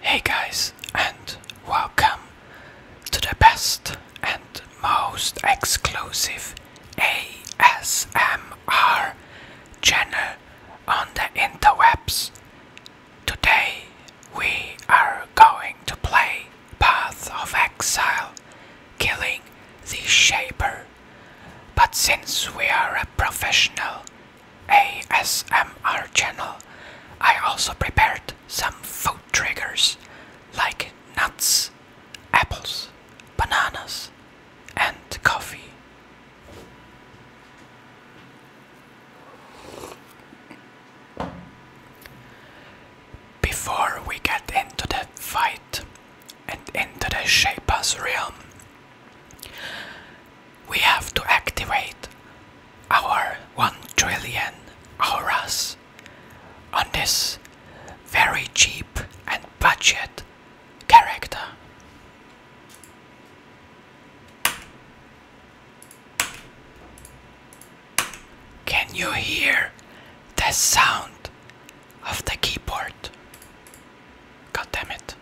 Hey guys, and welcome to the best and most exclusive ASMR channel on the interwebs. Today we are going to play path of exile, killing the Shaper. But since we are a professional ASMR channel, I also prepared some food triggers like nuts, apples, bananas, and coffee. Before we get into the fight and into the Shapa's realm, we have to activate our 1 trillion hours on this very cheap and budget character. Can you hear the sound of the keyboard? God damn it.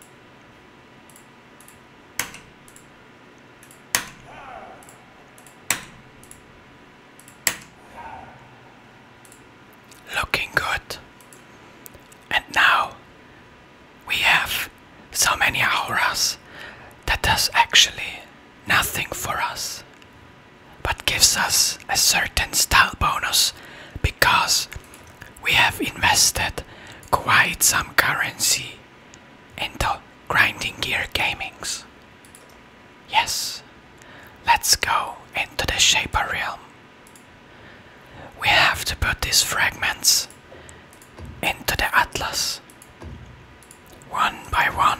Looking good. And now we have so many auras that does actually nothing for us but gives us a certain style bonus because we have invested quite some currency into grinding gear gamings. Yes, let's go into the Shaper Realm. We have to put these fragments into the Atlas one by one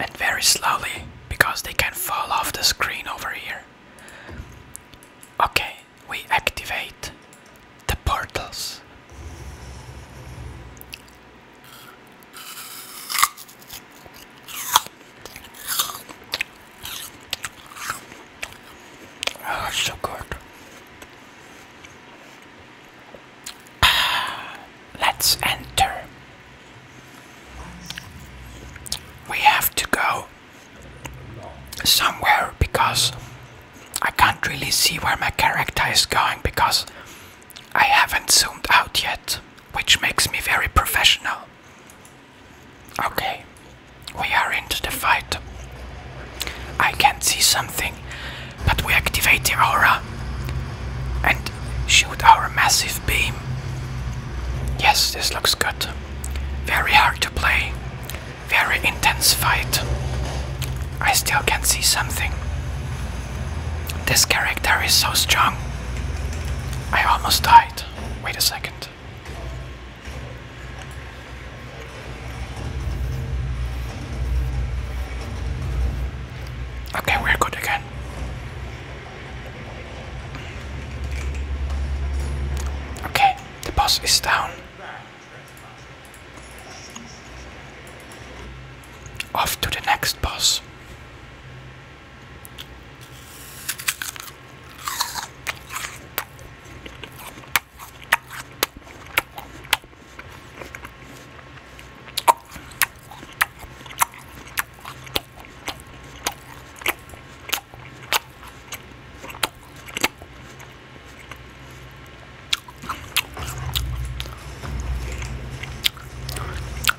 and very slowly because they can fall off the screen over here. Okay, we activate the portals. Oh, so good. let's enter. We have to go somewhere because I can't really see where my character is going because I haven't zoomed out yet, which makes me very professional. Okay, we are into the fight. I can see something but we activate the aura and shoot our massive beam. Yes, this looks good. Very hard to play. Very intense fight. I still can see something. This character is so strong. I almost died. Wait a second. Okay, we're good again. Okay, the boss is down. Off to the next boss.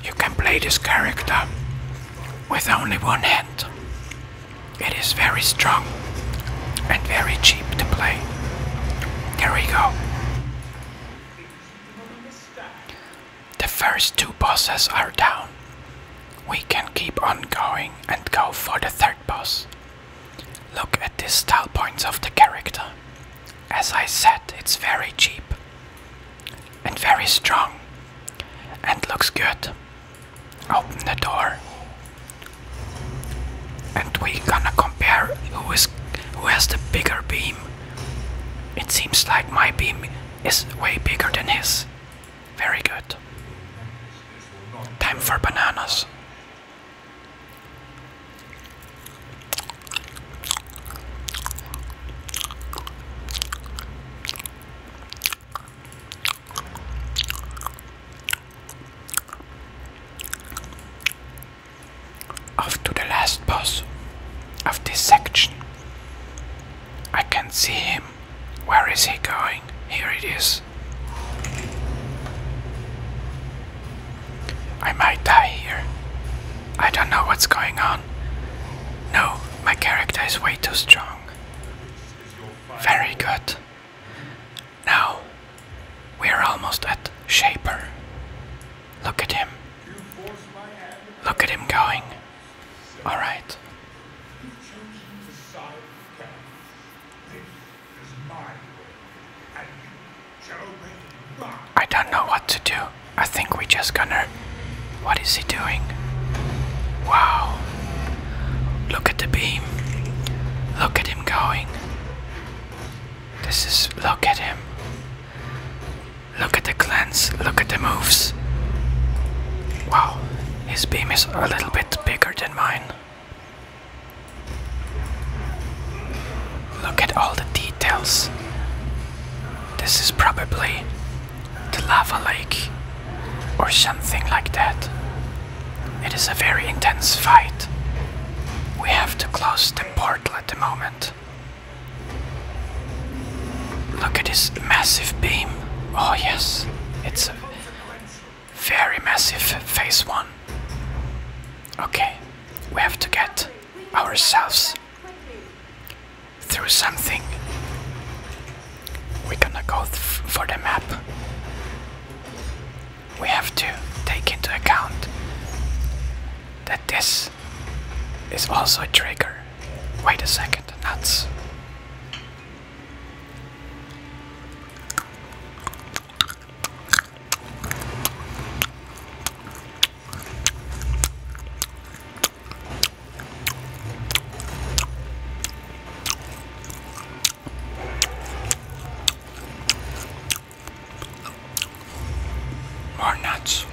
You can play this character with only one hand. It is very strong and very cheap to play. There we go. The first two bosses are down. We can keep on going and go for the third boss. Look at these style points of the character. As I said, it's very cheap and very strong and looks good. Open the door and we gonna compare who is who has the bigger beam. It seems like my beam is way bigger than his. Very good. Time for bananas. Off to the last boss of this section. I can see him. Where is he going? Here it is. I might die here. I don't know what's going on. No, my character is way too strong. Very good. Now we're almost at Shaper. Look at him. Look at him going. Alright. I don't know what to do. I think we just gonna. What is he doing? Wow. Look at the beam. Look at him going. This is. Look at him. Look at the glance. Look at the moves. Wow, his beam is a little bit bigger than mine. Look at all the details. This is probably the lava lake or something like that. It is a very intense fight. We have to close the portal at the moment. Look at this massive beam. Oh yes, it's a very massive phase one. Okay, we have to get ourselves through something. We're gonna go for the map. We have to take into account that this is also a trigger. Wait a second, nuts. More nuts.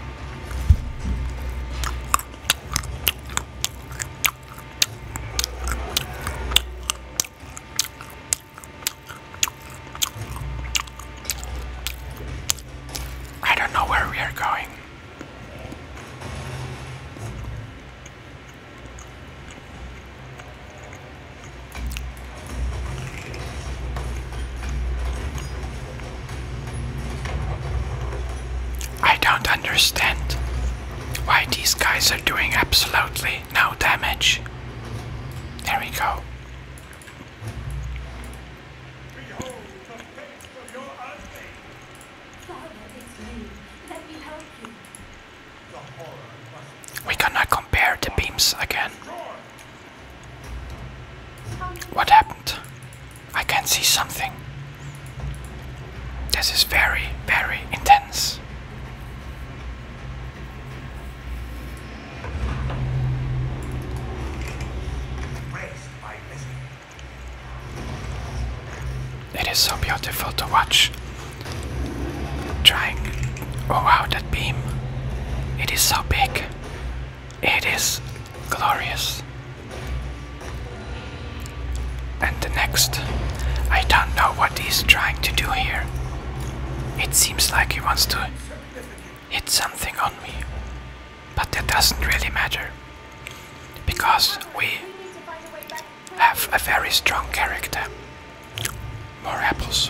I don't know where we are going. I don't understand why these guys are doing absolutely no damage. There we go. We cannot compare the beams again. What happened? I can see something. This is very, very intense. It is so beautiful to watch. Trying. Oh wow, that beam. It is so big. It is glorious. And the next. I don't know what he's trying to do here. It seems like he wants to hit something on me. But that doesn't really matter because we have a very strong character. More apples.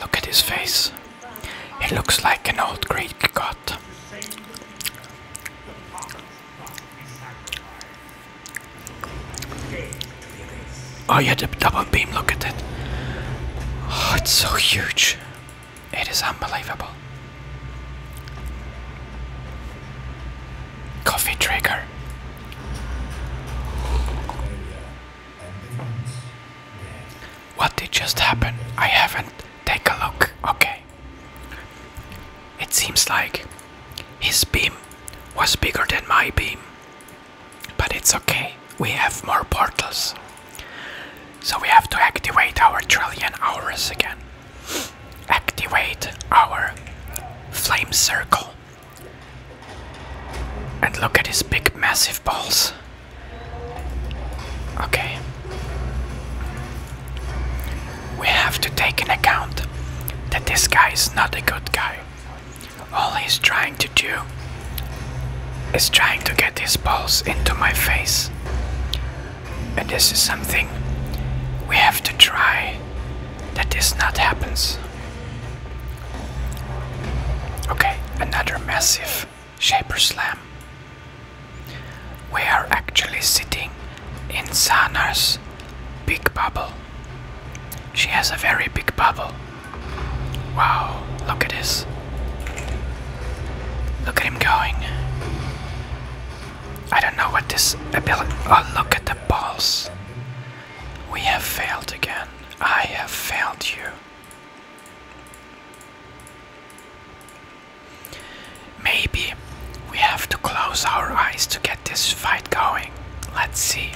Look at his face. He looks like an old Greek god. Oh yeah, the double beam, look at it. Oh, it's so huge. It is unbelievable. Coffee trigger. What did just happen? I haven't. Take a look. Okay. It seems like his beam was bigger than my beam. But it's okay. We have more portals. So we have to activate our trillion hours again. Activate our flame circle. And look at his big, massive balls. Okay. We have to take in account that this guy is not a good guy. All he's trying to do is trying to get his balls into my face. And this is something we have to try that this not happens. Okay, another massive shaper slam. We are actually sitting in Sana's big bubble. She has a very big bubble. Wow, look at this. Look at him going. I don't know what this ability. Oh, look at the balls. We have failed again. I have failed you. Maybe we have to close our eyes to get this fight going. Let's see.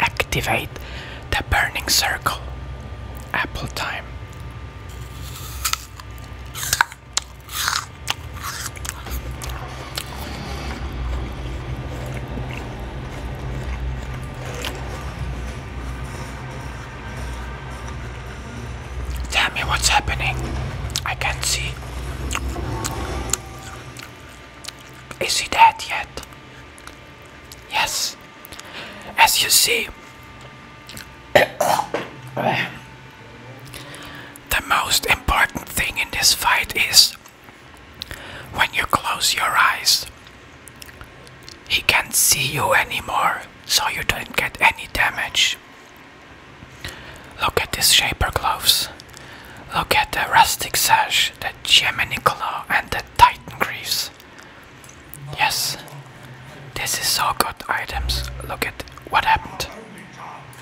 Activate the burning circle. Apple time. Tell me what's happening. I can't see. Is he dead yet? Yes. As you see, the most important thing in this fight is when you close your eyes, he can't see you anymore, so you don't get any damage. Look at these shaper gloves. Look at the rustic sash, the Gemini claw, and the titan greaves. Yes, this is so good items. Look at what happened.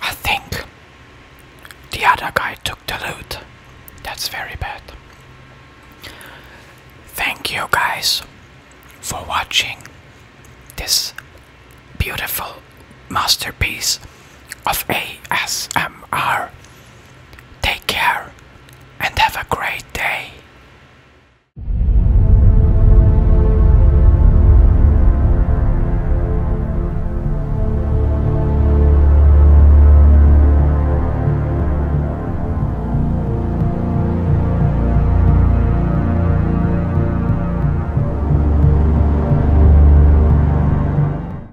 I think the other guy took the loot. That's very bad. Thank you guys for watching this beautiful masterpiece of ASMR. Take care and have a great day.